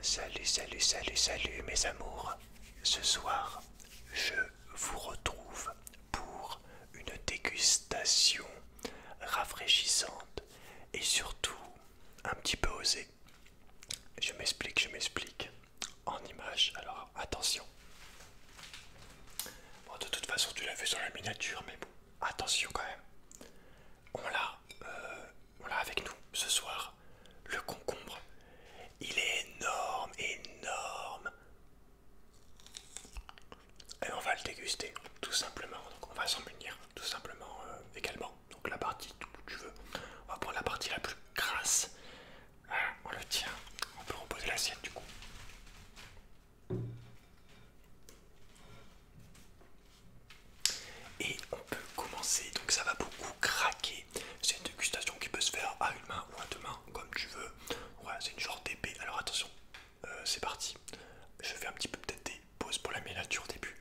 Salut, salut, salut, salut mes amours. Ce soir, je vous retrouve pour une dégustation rafraîchissante et surtout un petit peu osée. Je m'explique, je m'explique en images. Alors attention. Bon, de toute façon, tu l'as vu sur la miniature, mais bon, attention quand même. On l'a euh, voilà, avec nous ce soir, le concombre. Il est énorme, énorme. Et on va le déguster, tout simplement. Donc on va s'en munir, tout simplement euh, également. Donc la partie, tu veux, on va prendre la partie la plus grasse. Voilà, on le tient. On peut reposer l'assiette du coup. Et on peut commencer, donc ça va beaucoup craquer. C'est une dégustation qui peut se faire à une main ou à deux mains, comme tu veux. Ouais, c'est une genre d'épée. Alors attention, euh, c'est parti. Je fais un petit peu peut-être des pauses pour la mélature au début.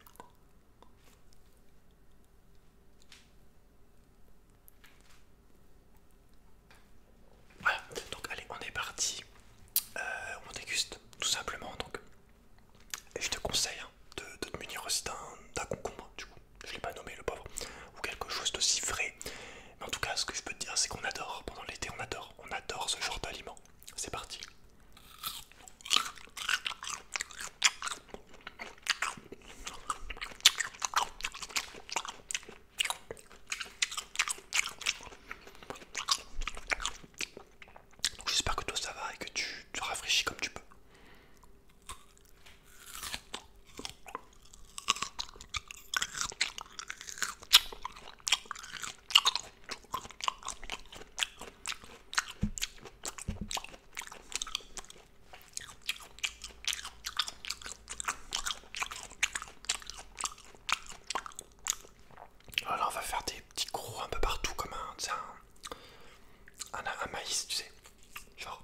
Voilà, donc allez, on est parti. Euh, on déguste tout simplement donc. je te conseille de, te munir aussi d'un concombre, du coup, je l'ai pas nommé le pauvre, ou quelque chose si vrai. Mais en tout cas, ce que je peux te dire, c'est qu'on adore, pendant l'été, on adore, on adore ce genre d'aliment. C'est parti. J'espère que toi ça va et que tu te rafraîchis comme tu peux. Alors on va faire des petits gros un peu partout comme un, un ah, un, maïs, tu sais. Genre.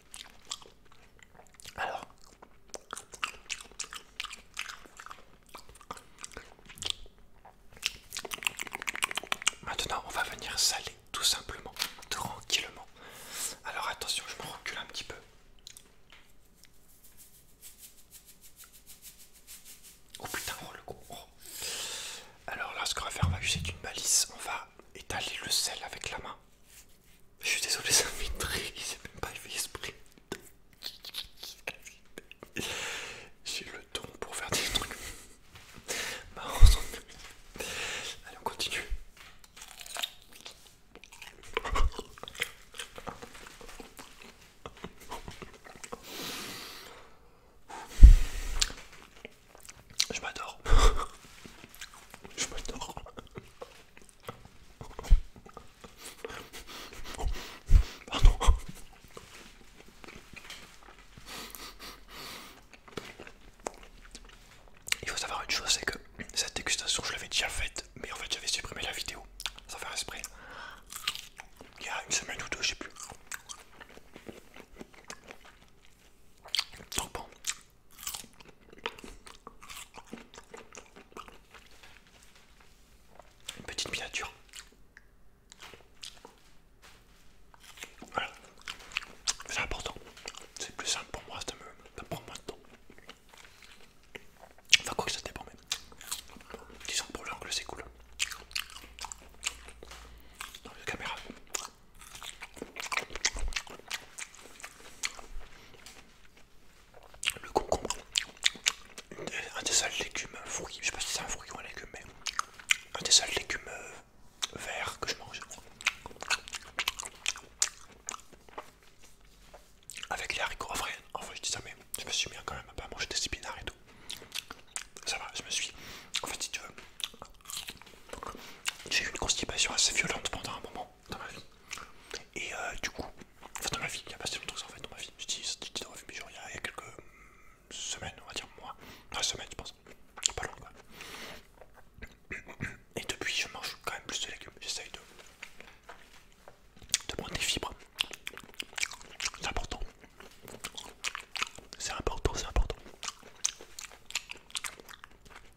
Alors, maintenant on va venir saler tout simplement, tranquillement. Alors attention, je me recule un petit peu. Oh putain, oh le oh. Alors là, ce qu'on va faire, on va utiliser d'une balise, on va étaler le sel avec la main. Je suis désolé, ça m'intrigue, il s'est même pas fait esprit. J'ai le temps pour faire des trucs. Marrant, bah, Allez, on continue. Je m'adore. Je m'adore. Pardon. Il faut savoir une chose, c'est que cette dégustation, je l'avais déjà faite, mais en fait, j'avais supprimé la vidéo. Ça fait esprit. Il y a une semaine ou deux, je sais plus. Trop bon, une petite miniature. Voilà. C'est important. C'est plus simple pour moi, de me, ça moins de temps. Enfin, quoi que ça dépend, mais. Disons pour l'angle, c'est cool. Dans la caméra le concombre, un des seuls légumes, fruits, je sais pas si c'est un fruit ou un légume, mais un des seuls légumes euh, vert que je mange. Avec les haricots, en vrai, je dis ça, mais je me suis mis quand même à pas manger des épinards et tout. Ça va, je me suis. En fait, si tu veux, j'ai eu une constipation assez violente pendant un moment dans ma vie. Et euh, du coup, enfin dans ma vie, il y a pas si longtemps que ça en fait dans ma vie. Je dis, je dans ma vie, mais genre il y, a, quelques hum, semaines, on va dire mois, enfin semaine je pense, pas long Et depuis, je mange quand même plus de légumes. J'essaye de, de prendre des fibres. C'est important. C'est important, c'est important.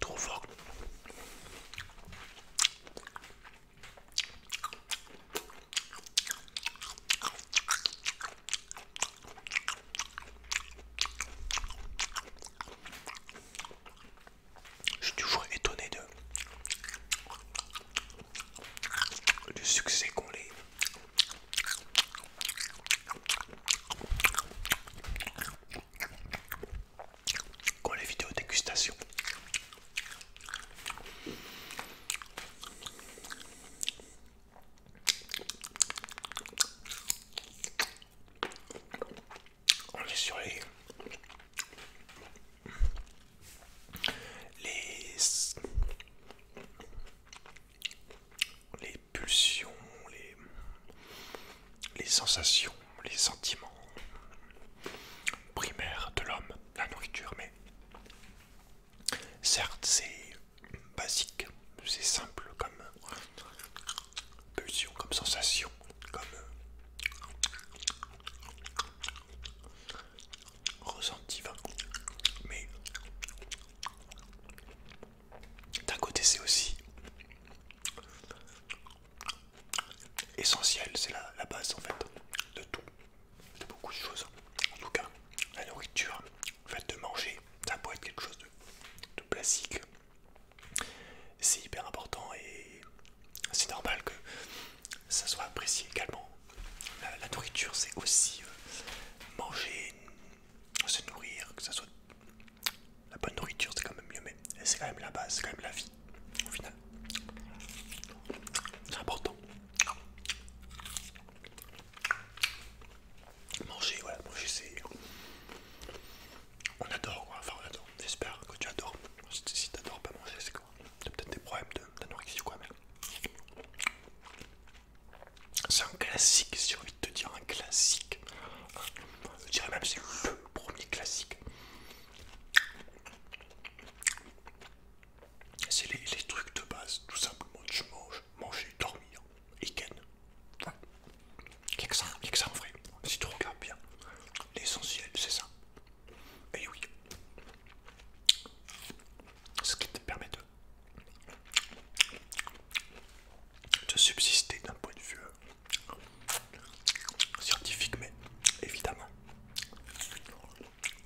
Trop fort. Je suis toujours étonné de le succès qu'on les qu'ont les vidéos dégustation. On est sur les les, pulsions, les, les sensations, les sentiments primaires de l'homme, la nourriture, mais certes c'est basique, c'est simple comme pulsion, comme sensation, comme ressenti Mais d'un côté c'est aussi essentiel, c'est la, base en fait de tout, de beaucoup de choses. En tout cas, la nourriture, le fait de manger, ça peut être quelque chose de, de classique. C'est hyper important et c'est normal que ça soit apprécié également. La, nourriture, c'est aussi euh, manger, se nourrir, que ça soit la bonne nourriture, c'est quand même mieux, mais c'est quand même la base, c'est quand même la vie, au final. C'est important. Manger, voilà, manger c'est... On adore, quoi. enfin on adore, j'espère que tu adores. Si t'adores pas manger, c'est quoi T'as peut-être des problèmes d'anorexie ou quoi, mais. C'est un classique, si envie de te dire, un classique. Je dirais même c'est le premier classique. C'est les, trucs de base, tout simplement. Je mange, manger, dormir, et hein. Ouais. que que ça en vrai. Si tu regardes bien, l'essentiel c'est ça. Et eh oui, ce qui te permet de, subsister d'un point de vue euh, scientifique, mais évidemment,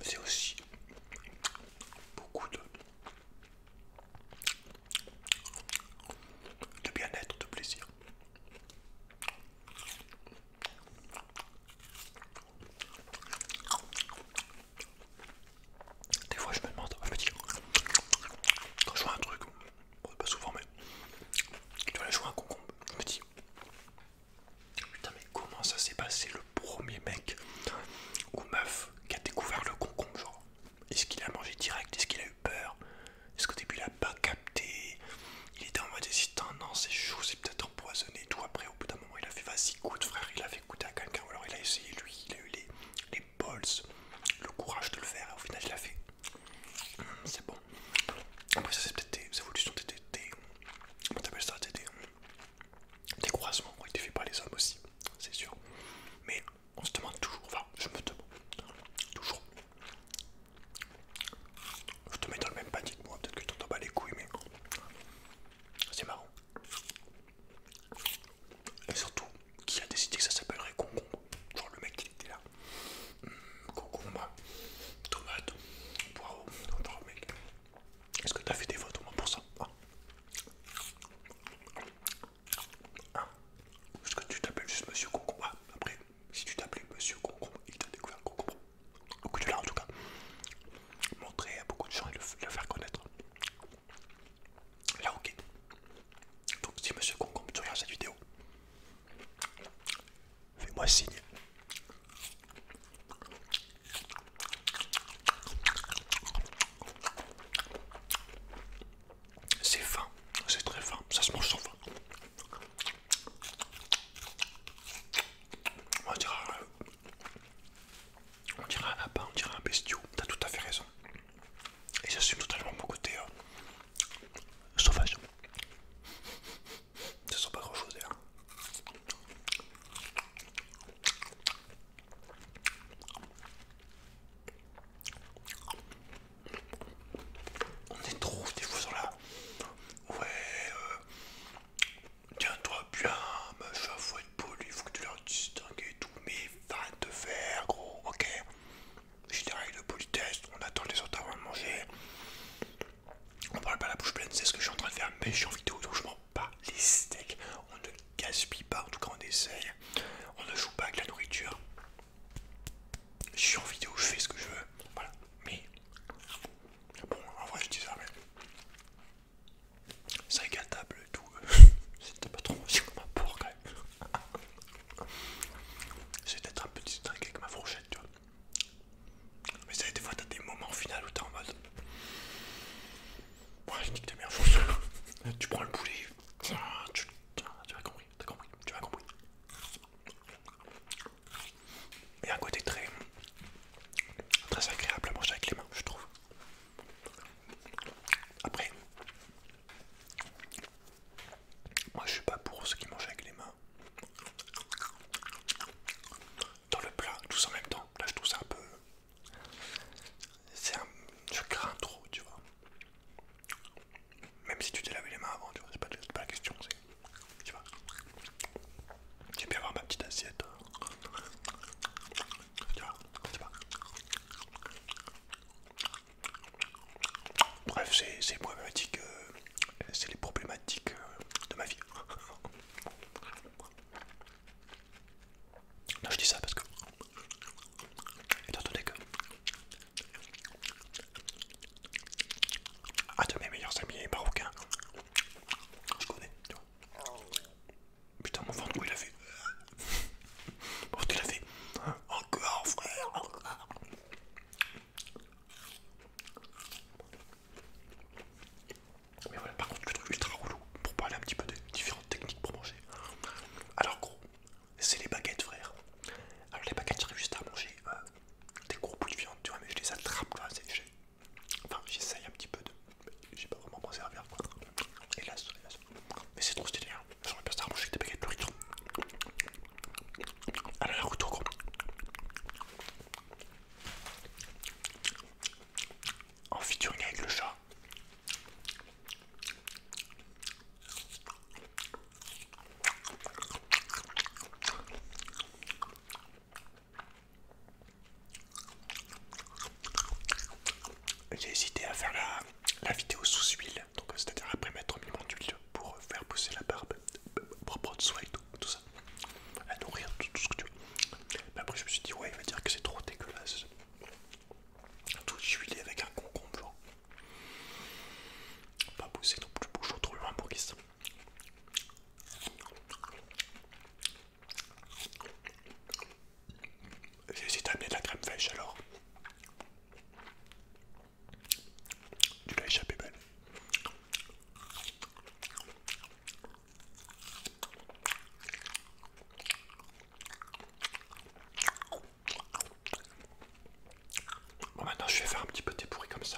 c'est aussi beaucoup de bien-être, de plaisir. Des fois, je me demande, je me quand je vois un truc, pas souvent, mais tu doit un concombre, je putain, mais comment ça s'est passé le premier mec ou meuf qui a découvert le concombre, genre Est-ce qu'il a mangé direct Est-ce qu'il a eu peur Est-ce qu'au début, il a pas capté Il était en mode hésitant, non, c'est chaud, c'est peut-être empoisonné et tout. Après, au bout d'un moment, il a fait vas-y, goûte frère, il a fait goûter à quelqu'un, alors il a essayé lui, il a eu les, les balls, le courage de le faire, et au final, il a fait. Hum, c'est bon. Après, ça, c'est peut-être des évolutions, des. des, comment ça des, croisements Il était fait pas les hommes aussi, c'est sûr. Mais on se demande toujours, enfin, je me demande toujours. Je te mets dans le même panique, moi, peut-être que tu t'en bats les couilles, mais c'est marrant. Et surtout, qui a décidé que ça s'appellerait concombre Genre le mec qui était là. Hmm, concombre, tomate, poireau, le mec. Est-ce que t'as fait des votes au moins pour ça hein Est-ce que tu t'appelles juste Monsieur Concombre ah, Après, si tu t'appelais Monsieur Concombre, il t'a découvert Concombre. Beaucoup de là en tout cas, montrer à beaucoup de gens et le, faire connaître. Là, ok. Donc, si monsieur Concombre, tu regardes cette vidéo, fais-moi signe. C'est fin, c'est très fin, ça se mange sans fin. On va euh, on dirait un lapin, on dirait un bestiau, t'as tout à fait raison. Et j'assume totalement mon côté hein. sauvage. Ça sent pas grand chose d'ailleurs. On est trop des fous sur la... Ouais... Euh, Tiens-toi bien, machin, faut être poli, faut que tu leur distingues et tout, mais arrête de fer, gros, ok J'ai des règles de politesse, on attend les autres avant de manger. On parle pas la bouche pleine, c'est ce que je suis en train de faire, mais je suis en vidéo, donc je mange pas les steaks. On ne gaspille pas, en tout cas on essaye. On ne joue pas avec la nourriture. Je suis en vidéo, je fais ce que je veux. Voilà. Mais... Bon, en vrai je dis ça, mais... C'est agréable et tout. C'était pas trop aussi comme un quand même. C'est d'être un petit truc avec ma fourchette, tu vois. Mais ça, des fois, t'as des moments finales où t'es en mode. Ouais, je nique ta merde, Tu prends le poulet, tu, tu, tu as compris, compris, tu as compris. Il y a un côté très, très agréable à manger avec les mains, je trouve. Après, moi je suis pas pour ceux qui mangent avec les mains dans le plat, tous en même temps. Là je trouve ça un peu. Un... Je crains trop, tu vois. Même si tu t'es lavé les mains avant, tu vois, c'est pas la question, c'est. Tu vois. J'aime bien avoir ma petite assiette. Tu vois, c'est Bref, euh, c'est les problématiques euh, de ma vie. non, je dis ça parce que, attends donné que ah, tu de mes meilleurs amis marocains. je connais, tu vois. Putain, mon ventre, où il a fait Mon il a fait Encore, frère, encore Mais voilà, par contre, le truc ultra roulou pour parler un petit peu de différentes techniques pour manger. Alors, gros, c'est les baguettes, frère. Alors, les baguettes, j'arrive juste à manger euh, des gros bouts de viande, tu vois, mais je les attrape quoi c'est Enfin, j'essaye un petit peu de. J'ai pas vraiment à servir quoi. Hélas, hélas. Mais c'est trop stylé, hein. J'aimerais bien ça manger avec des baguettes burrito. Allez, la retour gros. En featuring avec le chat. J'ai hésité à faire la, vidéo sous huile, donc c'est-à-dire après mettre un minimum d'huile pour faire pousser la barbe, pour prendre soin et tout, ça, à nourrir tout, ce que tu veux. Mais après je me suis dit ouais il va dire que c'est trop dégueulasse, tout huilé avec un concombre genre. Pas pousser non plus, bouge trop loin pour qu'il j'ai essayé amener de la crème fraîche alors. Tu l'as échappé belle. Bon maintenant je vais faire un petit peu dépourri comme ça.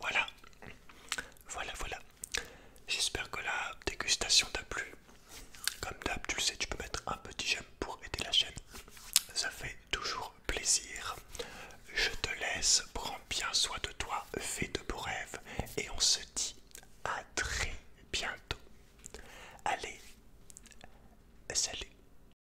Voilà, voilà, voilà. J'espère que la dégustation t'a plu. Comme d'hab, tu le sais, tu peux mettre un petit j'aime pour aider la chaîne. Ça fait toujours plaisir. Je te laisse, prends bien soin de toi, fais de beaux rêves et on se dit à très bientôt. Allez, salut